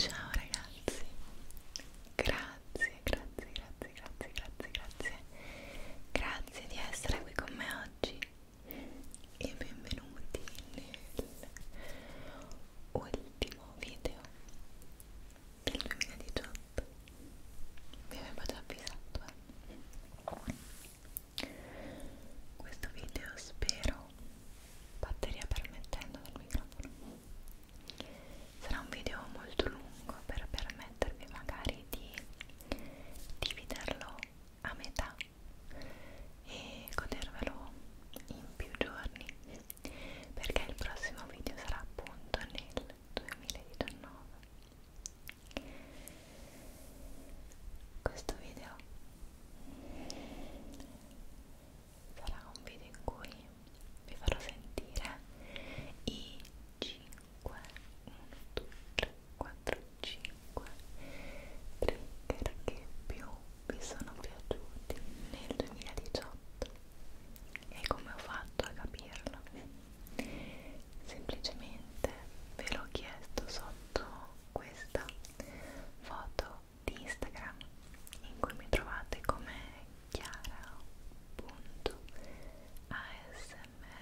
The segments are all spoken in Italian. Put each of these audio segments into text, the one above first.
Ciao ragazzi, grazie, grazie, grazie, grazie, grazie, grazie, grazie di essere qui con me oggi e benvenuti nell'ultimo video del 2018 mi avevo già avvisato eh. questo video spero batteria permettendo del microfono sarà un video molto lungo per permettervi magari di dividerlo a metà e godervelo in più giorni perché il prossimo video sarà appunto nel 2019 questo video sarà un video in cui vi farò sentire i 5 1 2 3 4 5 5 trigger che più vi sono piaciuti nel 2018 e come ho fatto a capirlo? semplicemente ve l'ho chiesto sotto questa foto di Instagram in cui mi trovate come chiara.asmr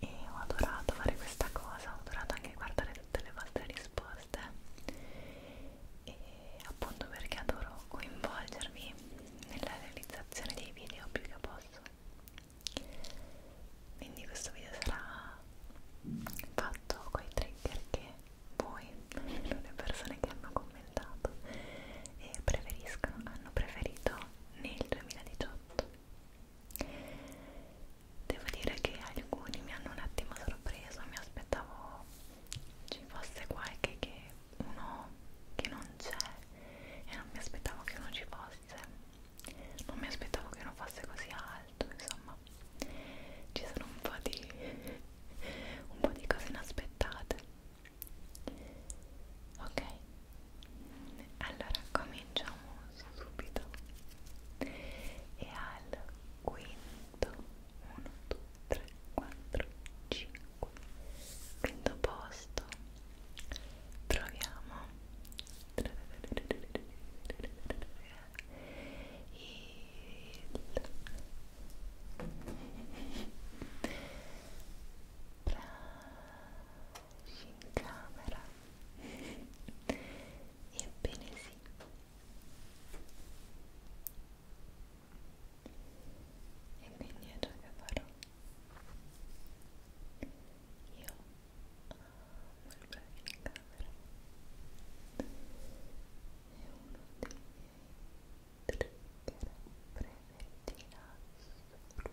e ho adorato fare questa cosa, ho adorato anche guardare tutte le vostre risposte e appunto perché adoro coinvolgermi nella realizzazione dei video più che posso quindi questo video sarà fatto con i trigger che voi, le persone che hanno commentato e preferiscono, hanno preferito nel 2018 Devo dire che alcuni mi hanno un attimo sorpreso, mi aspettavo ci fosse qualche che uno che non c'è e non mi aspettavo che uno ci fosse, non mi aspettavo che uno fosse così alto, insomma ci sono un po' di, un po' di cose inaspettate. Ok, allora cominciamo subito e al quinto 1 2 3 4 5 quinto posto troviamo il in camera ebbene sì e quindi è ciò che farò io amo il breve in camera è uno dei miei trigger preferiti in assoluto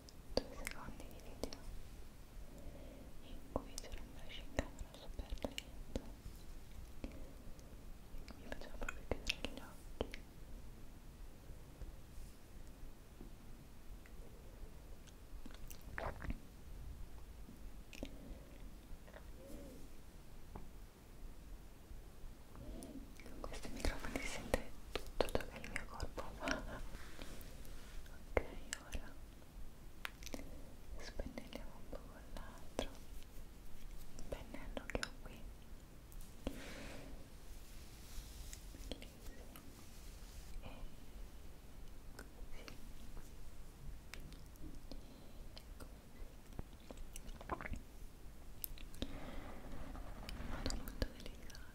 due secondi di video in cui c'era un flash in camera super lento mi faceva proprio chiudere gli occhi con questi microfoni si sente tutto ciò che il mio corpo fa ok ora spennelliamo un po' con l'altro il pennello che ho qui Bellissimo. e così in ecco modo molto delicato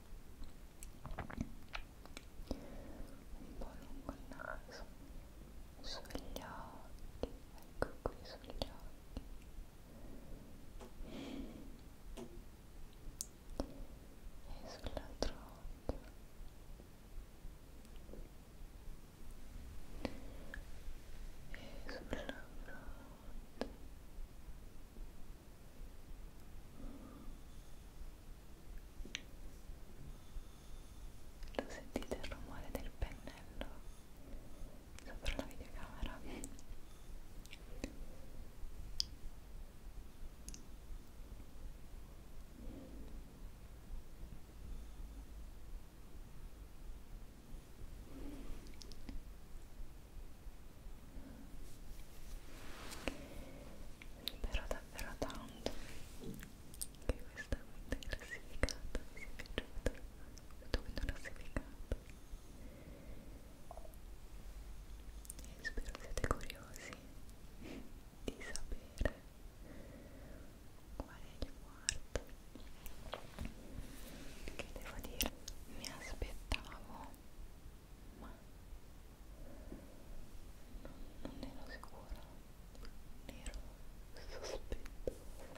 un po' lungo il naso sugli occhi ecco qui sugli occhi e sull'altro occhio e sulla fronte e lo sentite il rumore del pennello sopra la videocamera? spero davvero tanto che questa quinta classificata vi sia piaciuta questa quinta classificata e spero siate curiosi di sapere qual è il quarto che devo dire mi aspettavo ma non, non ero sicura, non ero sospettosa.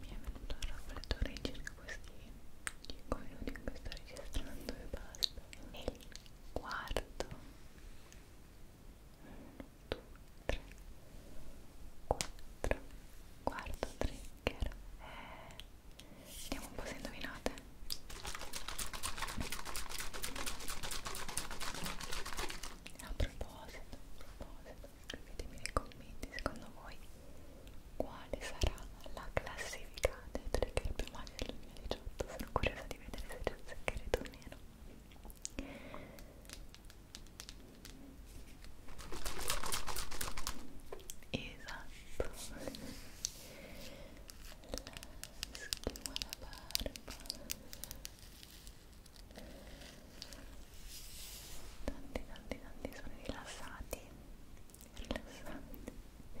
Mi è venuto il raffreddore circa questi 5 minuti in cui sto registrando e basta. E il quarto 3, 4, quarto trigger e vediamo un po' se indovinate a proposito, a proposito scrivetemi nei commenti secondo voi quale sarà la classifica dei trigger più maggiori del 2018 sono curiosa di vedere se c'è un secreto o meno Esatto. Schiuma la barba. Tanti, tanti, tanti sono rilassati. Rilassanti. Rilassanti.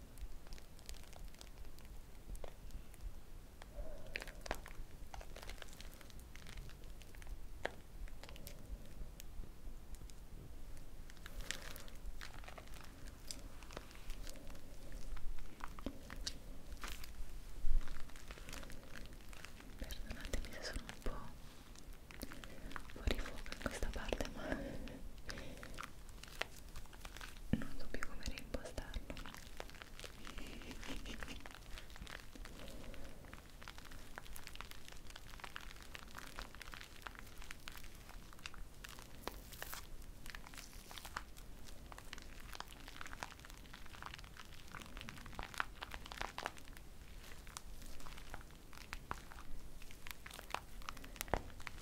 Perdonatemi se sono un po' fuori fuoco in questa parte, ma non so più come reimpostarlo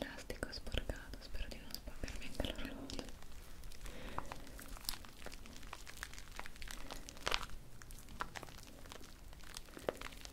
Elastico sporcato, spero di non sporcarmi anche l'orologio.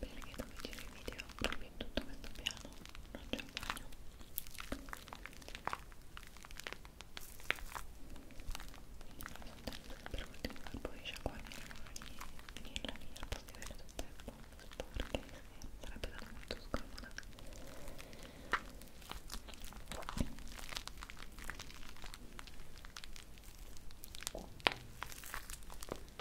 Bene che dove giro i video proprio in tutto questo piano non c'è un bagno per ultimo per poi sciacquarmi le mani e finirla lì al posto di avere tutto il tempo sporche sarebbe stata molto scomoda Bene,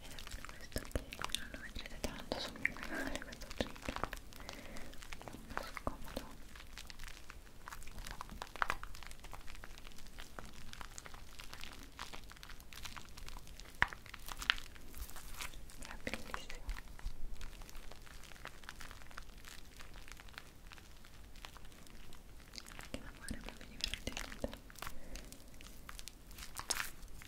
vedete questo che non lo vedrete tanto sul mio canale questo trigger molto scomodo è bellissimo che l'amore è proprio divertente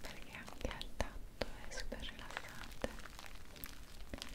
perché anche al tatto è super rilassante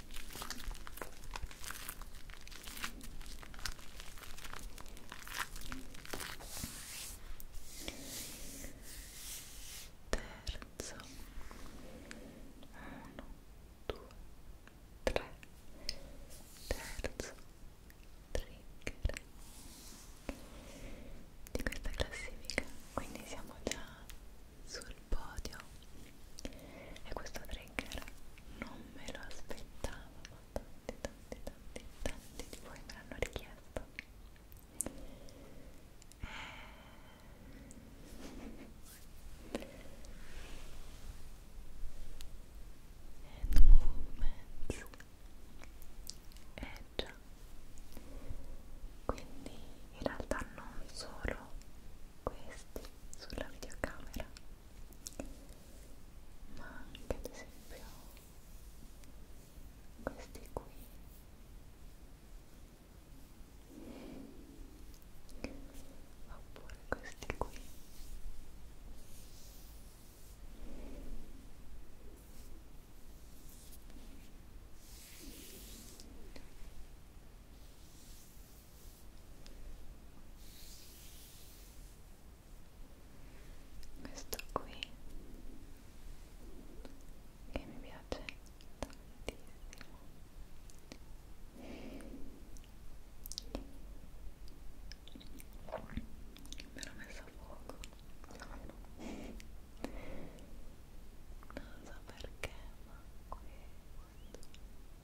terzo uno due tre terzo trigger di questa classifica quindi siamo già sul podio e questo trigger non me lo aspettavo ma tanti tanti tanti tanti di voi me l'hanno richiesto and eh, movements e eh già quindi in realtà non solo questi sulla videocamera ma anche ad esempio questi qui oppure questi qui questo qui che mi piace tantissimo me l'ho messo a fuoco non so perché ma questo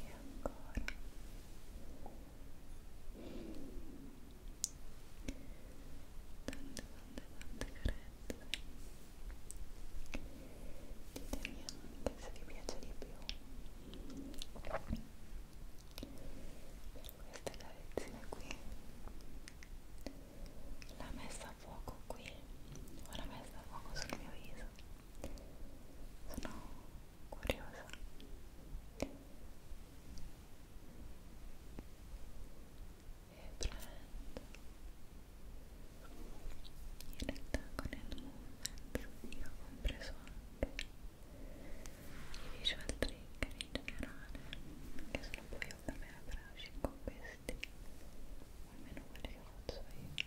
e ancora tante tante tante carezze ditemi anche se vi piace di più per questa carezzina qui l'ha messa a fuoco qui ho la messa a fuoco sul mio viso sono curiosa e prendo in realtà con il movement io ho compreso anche i visual trigger in generale che sono poi ovviamente a braccio con questi almeno quelli che faccio io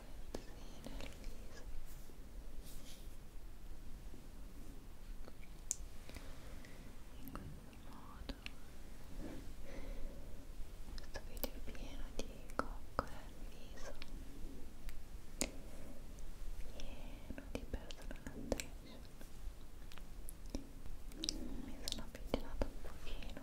modo questo video è pieno di coccole al viso pieno di personal attention mi sono avvicinata un pochino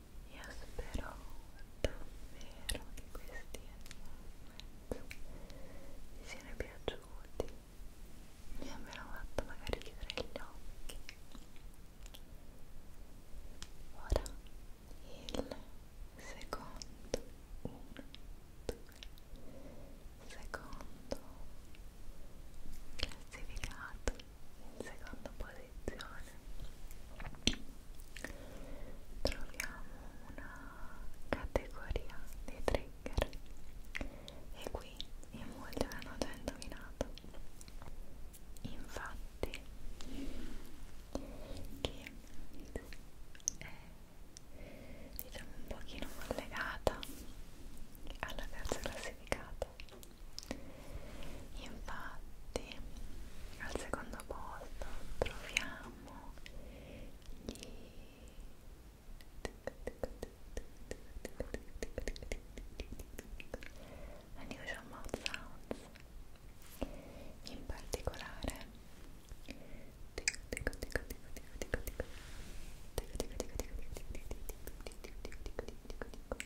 Io spero davvero che questi vi siano piaciuti, mi abbiano fatto magari chiudere gli occhi. Ora il secondo, uno, due, secondo classificato in seconda posizione troviamo una categoria di trigger e qui in molti avevano già indovinato infatti che è diciamo un pochino collegata alla terza classificata Infatti, al secondo posto troviamo gli Unusual Mouth Sounds in particolare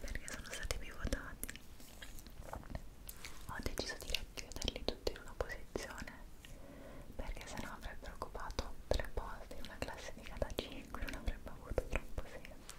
perché sono stati più votati ho deciso di racchiuderli tutti in una posizione perché sennò avrebbero occupato tre posti in una classifica da 5 non avrebbe avuto troppo senso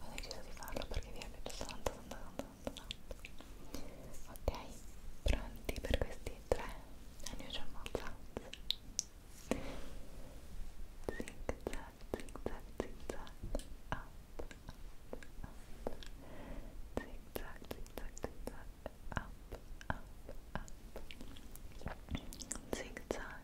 ho deciso di farlo perché vi è piaciuto tanto tanto tanto tanto ok pronti per questi tre unusual mouth sounds zig zag zig zag zig zag up up up zig zag zig zag zig zag up up up zig zag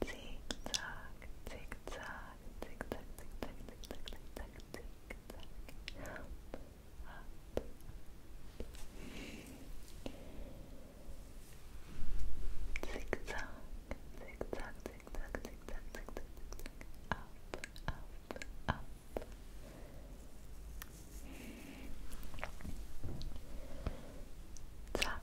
Tick tock, tick tock, tick tock, tick tock, tick tock, tick tock, tick tock. Up, up. Tick tock, tick tock, tick tock, tick tock, tick tock, tick tock. Up, up, up. Tuck,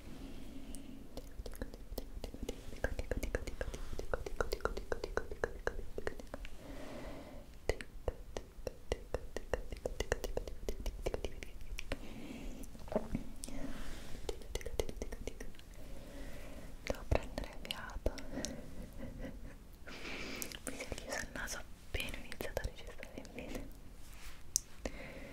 Devo prendere fiato. Mi si è chiuso il naso appena ho iniziato a registrare il video.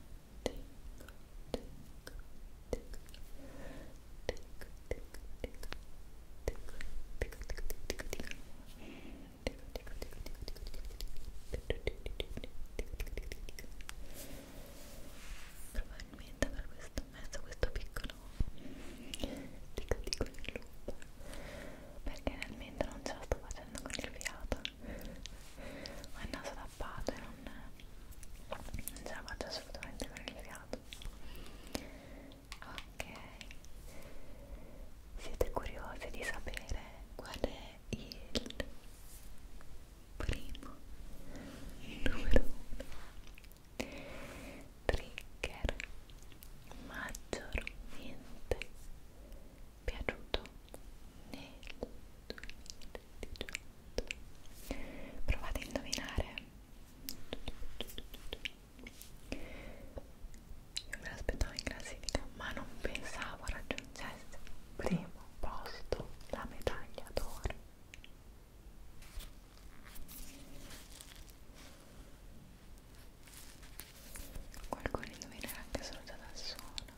Probabilmente per questo ho messo questo piccolo tic tic nel loop perché realmente non ce la sto facendo con il fiato ho il naso tappato e non, non ce la faccio assolutamente per il fiato ok siete curiosi di sapere qual è il primo il numero uno trigger maggiormente piaciuto nel 2018 provate a indovinare io me l'aspettavo in classifica ma non pensavo raggiungesse primo posto la medaglia d'oro qualcuno indovinerà anche solo già dal suono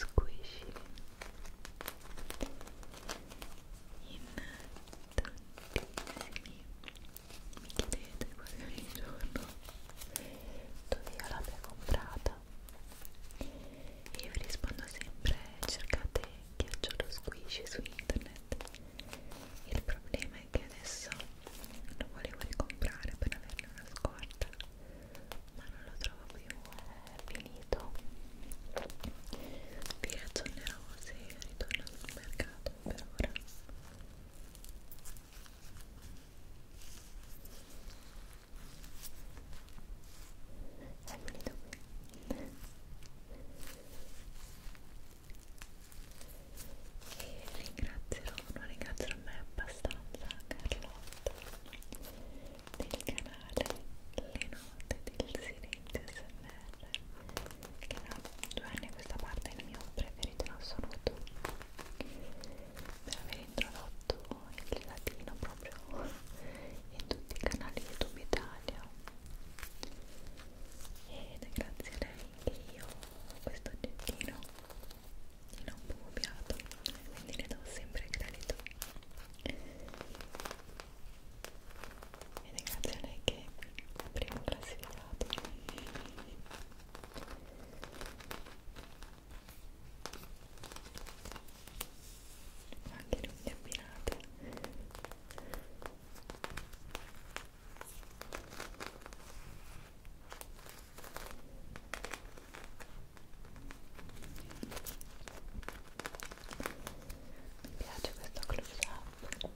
squishy in tantissimi mi chiedete quasi ogni giorno dove io l'abbia comprata e io vi rispondo sempre cercate ghiacciolo squishy su internet il problema è è che adesso lo volevo ricomprare per averne una scorta ma non lo trovo più è finito vi ragionerò se ritorno sul mercato per ora è finito qui e ringrazierò, non ringrazierò mai abbastanza Carlotta del canale Le Note del Silenzio SMR che da due anni a questa parte è il mio preferito in assoluto per aver introdotto il latino proprio in tutti i canali YouTube Italia ed è grazie a lei che io questo oggettino gli ho copiato quindi ne do sempre credito ed è grazie a lei che è primo classificato ma anche le unghie abbinate mi piace questo close up. Questo.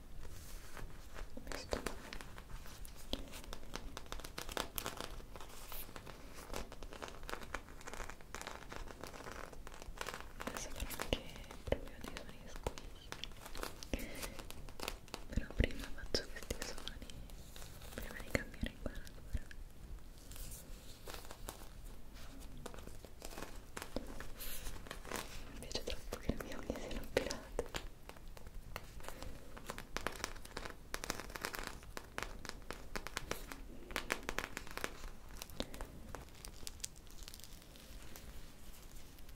Adesso farò anche proprio dei suoni squisci però prima faccio questi suoni prima di cambiare inquadratura mi piace troppo che le mie unghie siano pirate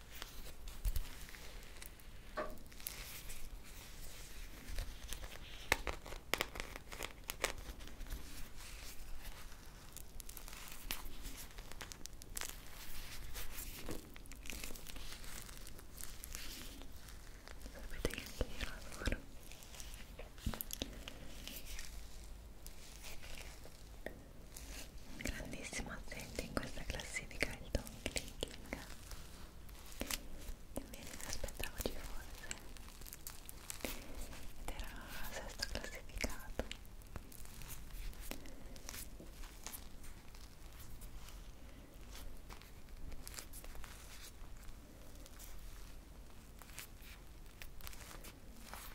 Sapete che anche io lavoro un grandissimo assente in questa classifica è il Don Clicking invece mi aspettavo ci fosse ed era sesto classificato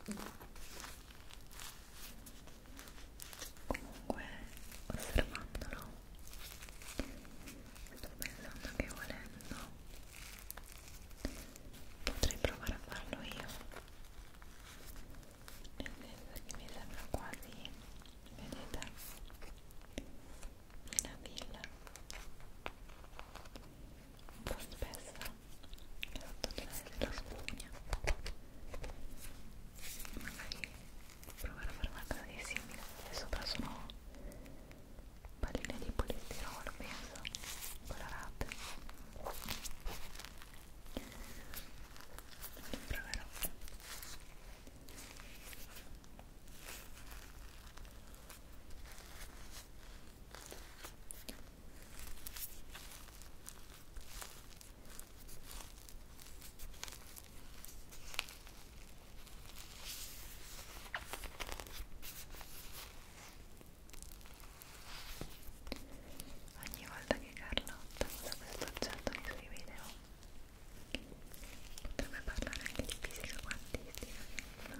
comunque osservandolo sto pensando che volendo potrei provare a farlo io nel senso che mi sembra quasi vedete una villa un po' spessa e sotto c'è la spugna magari provare a fare una cosa di simile e sopra sono palline di polistirolo penso colorate proverò Ogni volta che Carlotta usa questo oggetto nei suoi video oh. potrebbe parlare anche di fisica quantistica che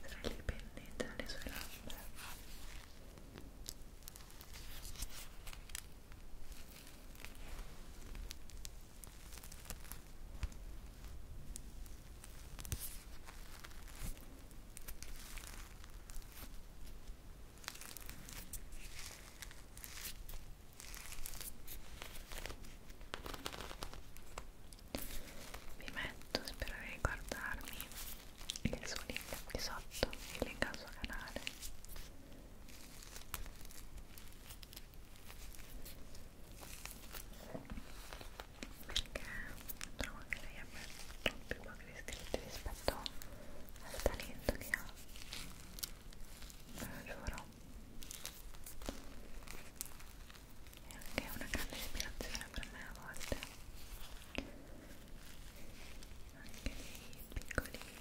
tra le penne e tra le sue labbra mi metto, spero di guardarmi il suo link qui sotto, il link al suo canale perché trovo che lei abbia più pochi iscritti rispetto al talento che ha ve lo giuro è anche una grande ispirazione per me a volte anche dei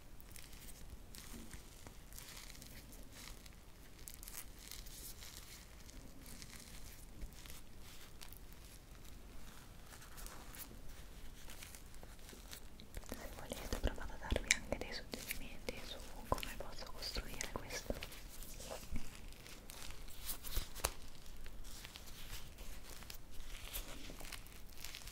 se volete provate a darvi anche dei suggerimenti su come posso costruire questo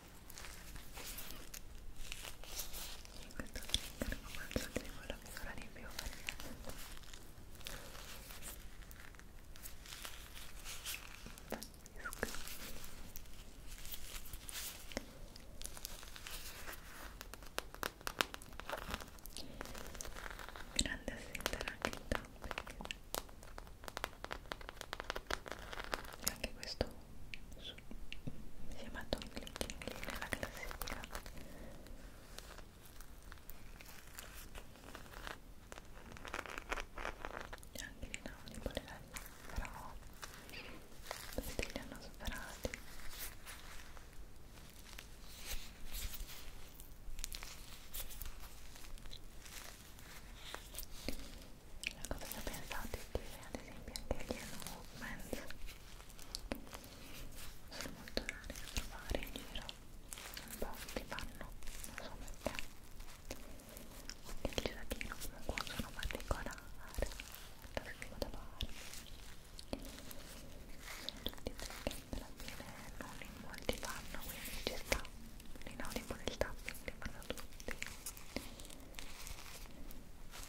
questo trigger lo faccio di quello che sarà di più grande assinterà anche il top anche questo su, insieme a Tom Glittini nella classifica e anche di Naudi Polerelli però tutti li hanno superati la cosa pensate che ad esempio anche gli hand movements sono molto rari da trovare in giro un po' li fanno, non so perché il gelatino comunque sono particolare lo scrivo da parte sono tutti perché alla fine non in molti fanno quindi ci sta l'inaudible del tapping li fanno tutti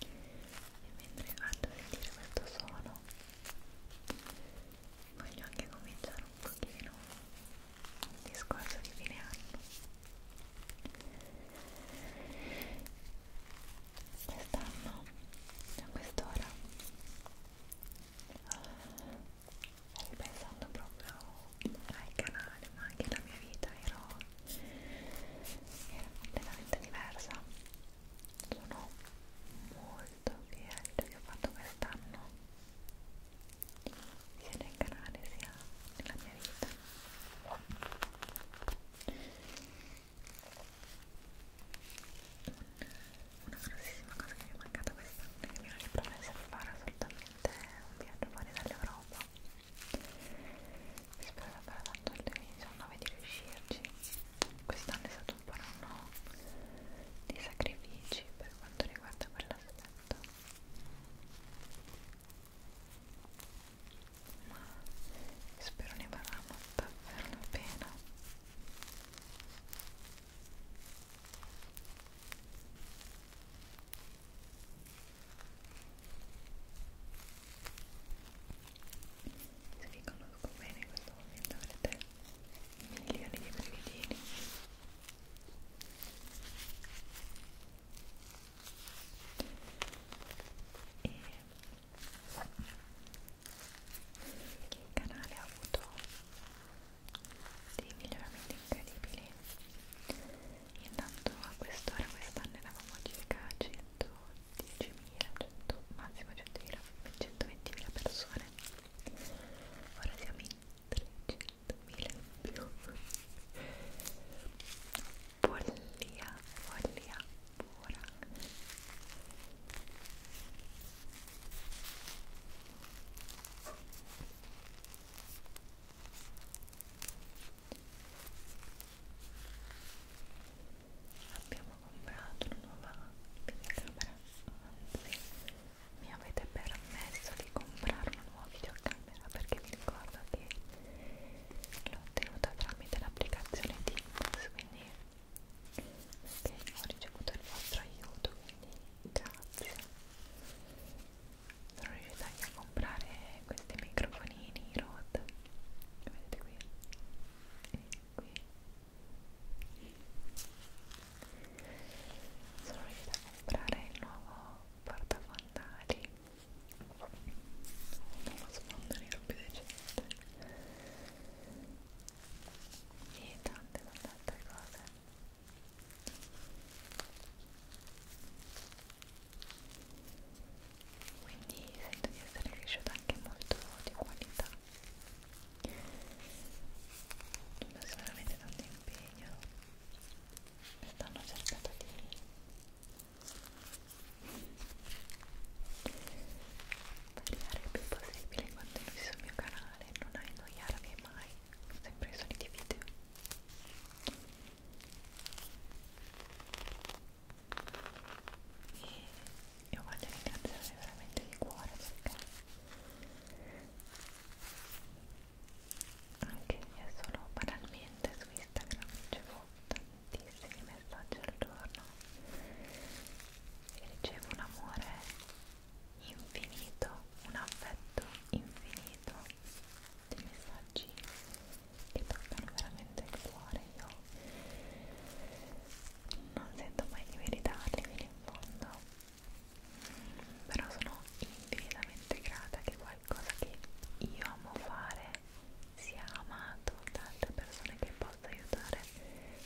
E mentre vado a sentire questo suono, voglio anche cominciare un pochino un discorso di fine anno. Quest'anno, a quest'ora, pensando proprio ai canali ma anche la mia vita ero, era completamente diversa sono molto fiera di che ho fatto quest'anno sia nel canale sia nella mia vita una grossissima cosa che mi è mancata quest'anno che mi ero ripromessa di fare assolutamente veramente un viaggio fuori dall'Europa spero davvero tanto il 2019 di riuscirci quest'anno è stato un po' un anno di sacrifici per quanto riguarda quell'aspetto ma spero ne varranno davvero la pena se vi conosco bene in questo momento avrete milioni di brividini. E il canale ha avuto dei miglioramenti incredibili intanto a quest'ora quest'anno eravamo circa 110.000 100, massimo 100.000 120.000 persone ora siamo in 300.000 in più follia follia pura abbiamo comprato una nuova videocamera anzi mi avete permesso di comprare una nuova videocamera perché vi ricordo che l'ho ottenuta tramite l'applicazione Teams quindi perché ho ricevuto il vostro aiuto quindi grazie sono riuscita anche a comprare questi microfonini Rode che vedete qui e qui sono riuscita a comprare il nuovo portafondali un nuovo sfondo nero più decente e tante tante altre cose quindi sento di essere cresciuta anche molto di qualità non solamente tanto impegno quest'anno ho cercato di variare il più possibile quando ero sul mio canale non annoiarmi mai sempre i soliti video e io voglio ringraziare veramente di cuore perché anche io solo banalmente su Instagram ricevo tantissimi messaggi al giorno e ricevo un amore infinito, un affetto infinito dei messaggi che toccano veramente il cuore io non sento mai di meritarli fino in fondo però sono infinitamente grata che qualcosa che io amo fare sia amato da altre persone che possa aiutare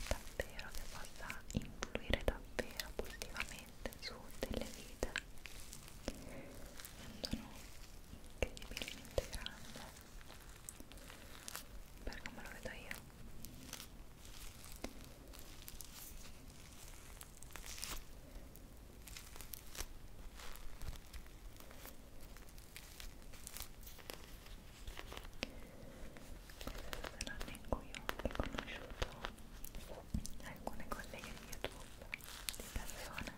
davvero che possa influire davvero positivamente su delle vite sono incredibilmente grande per come lo vedo io questo è l'anno in cui ho riconosciuto alcune colleghe di youtube di persone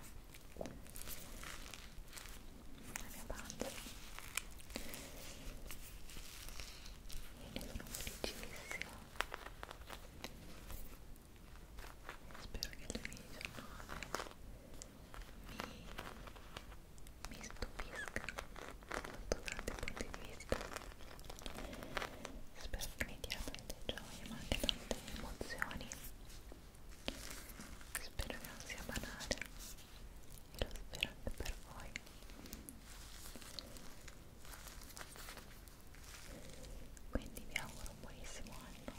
la mia pancia e ne sono felicissima spero che il 2019 mi, mi stupisca sotto tanti punti di vista spero che mi diano tante gioie ma anche tante emozioni spero che non sia banale e lo spero anche per voi quindi vi auguro un buonissimo anno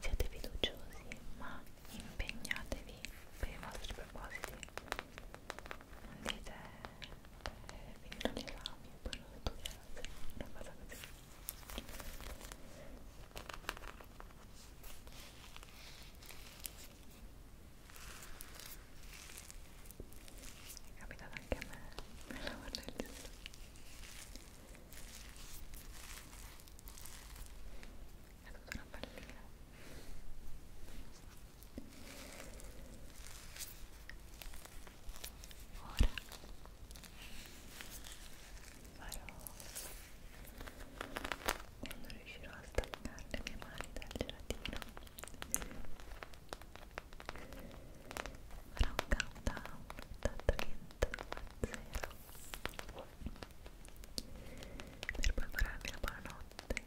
siate fiduciosi ma impegnatevi per i vostri propositi non dite finirò gli esami e poi non ho detto grazie, una cosa così è capitato anche a me per lavorare il dito è tutta una pallina Ora farò quando riuscirò a staccare le mie mani dal gelatino farò un countdown da 30 a 0 per prepararmi la buonanotte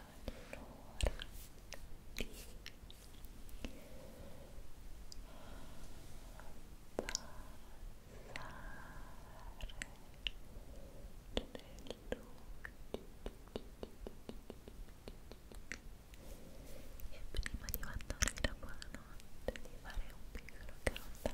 allora di e prima di mandarvi la buonanotte di fare un countdown 3,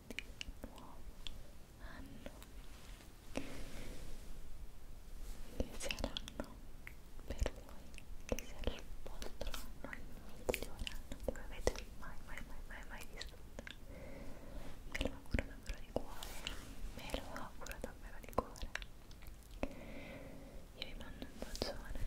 di nuovo anno inizieranno per voi che sia il vostro anno il migliore anno che avete mai mai mai mai mai vissuto me lo auguro davvero di cuore me lo auguro davvero di cuore io vi mando un bacione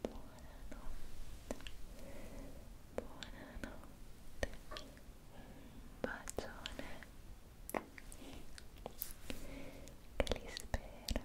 buonanotte buonanotte un bacione che li spera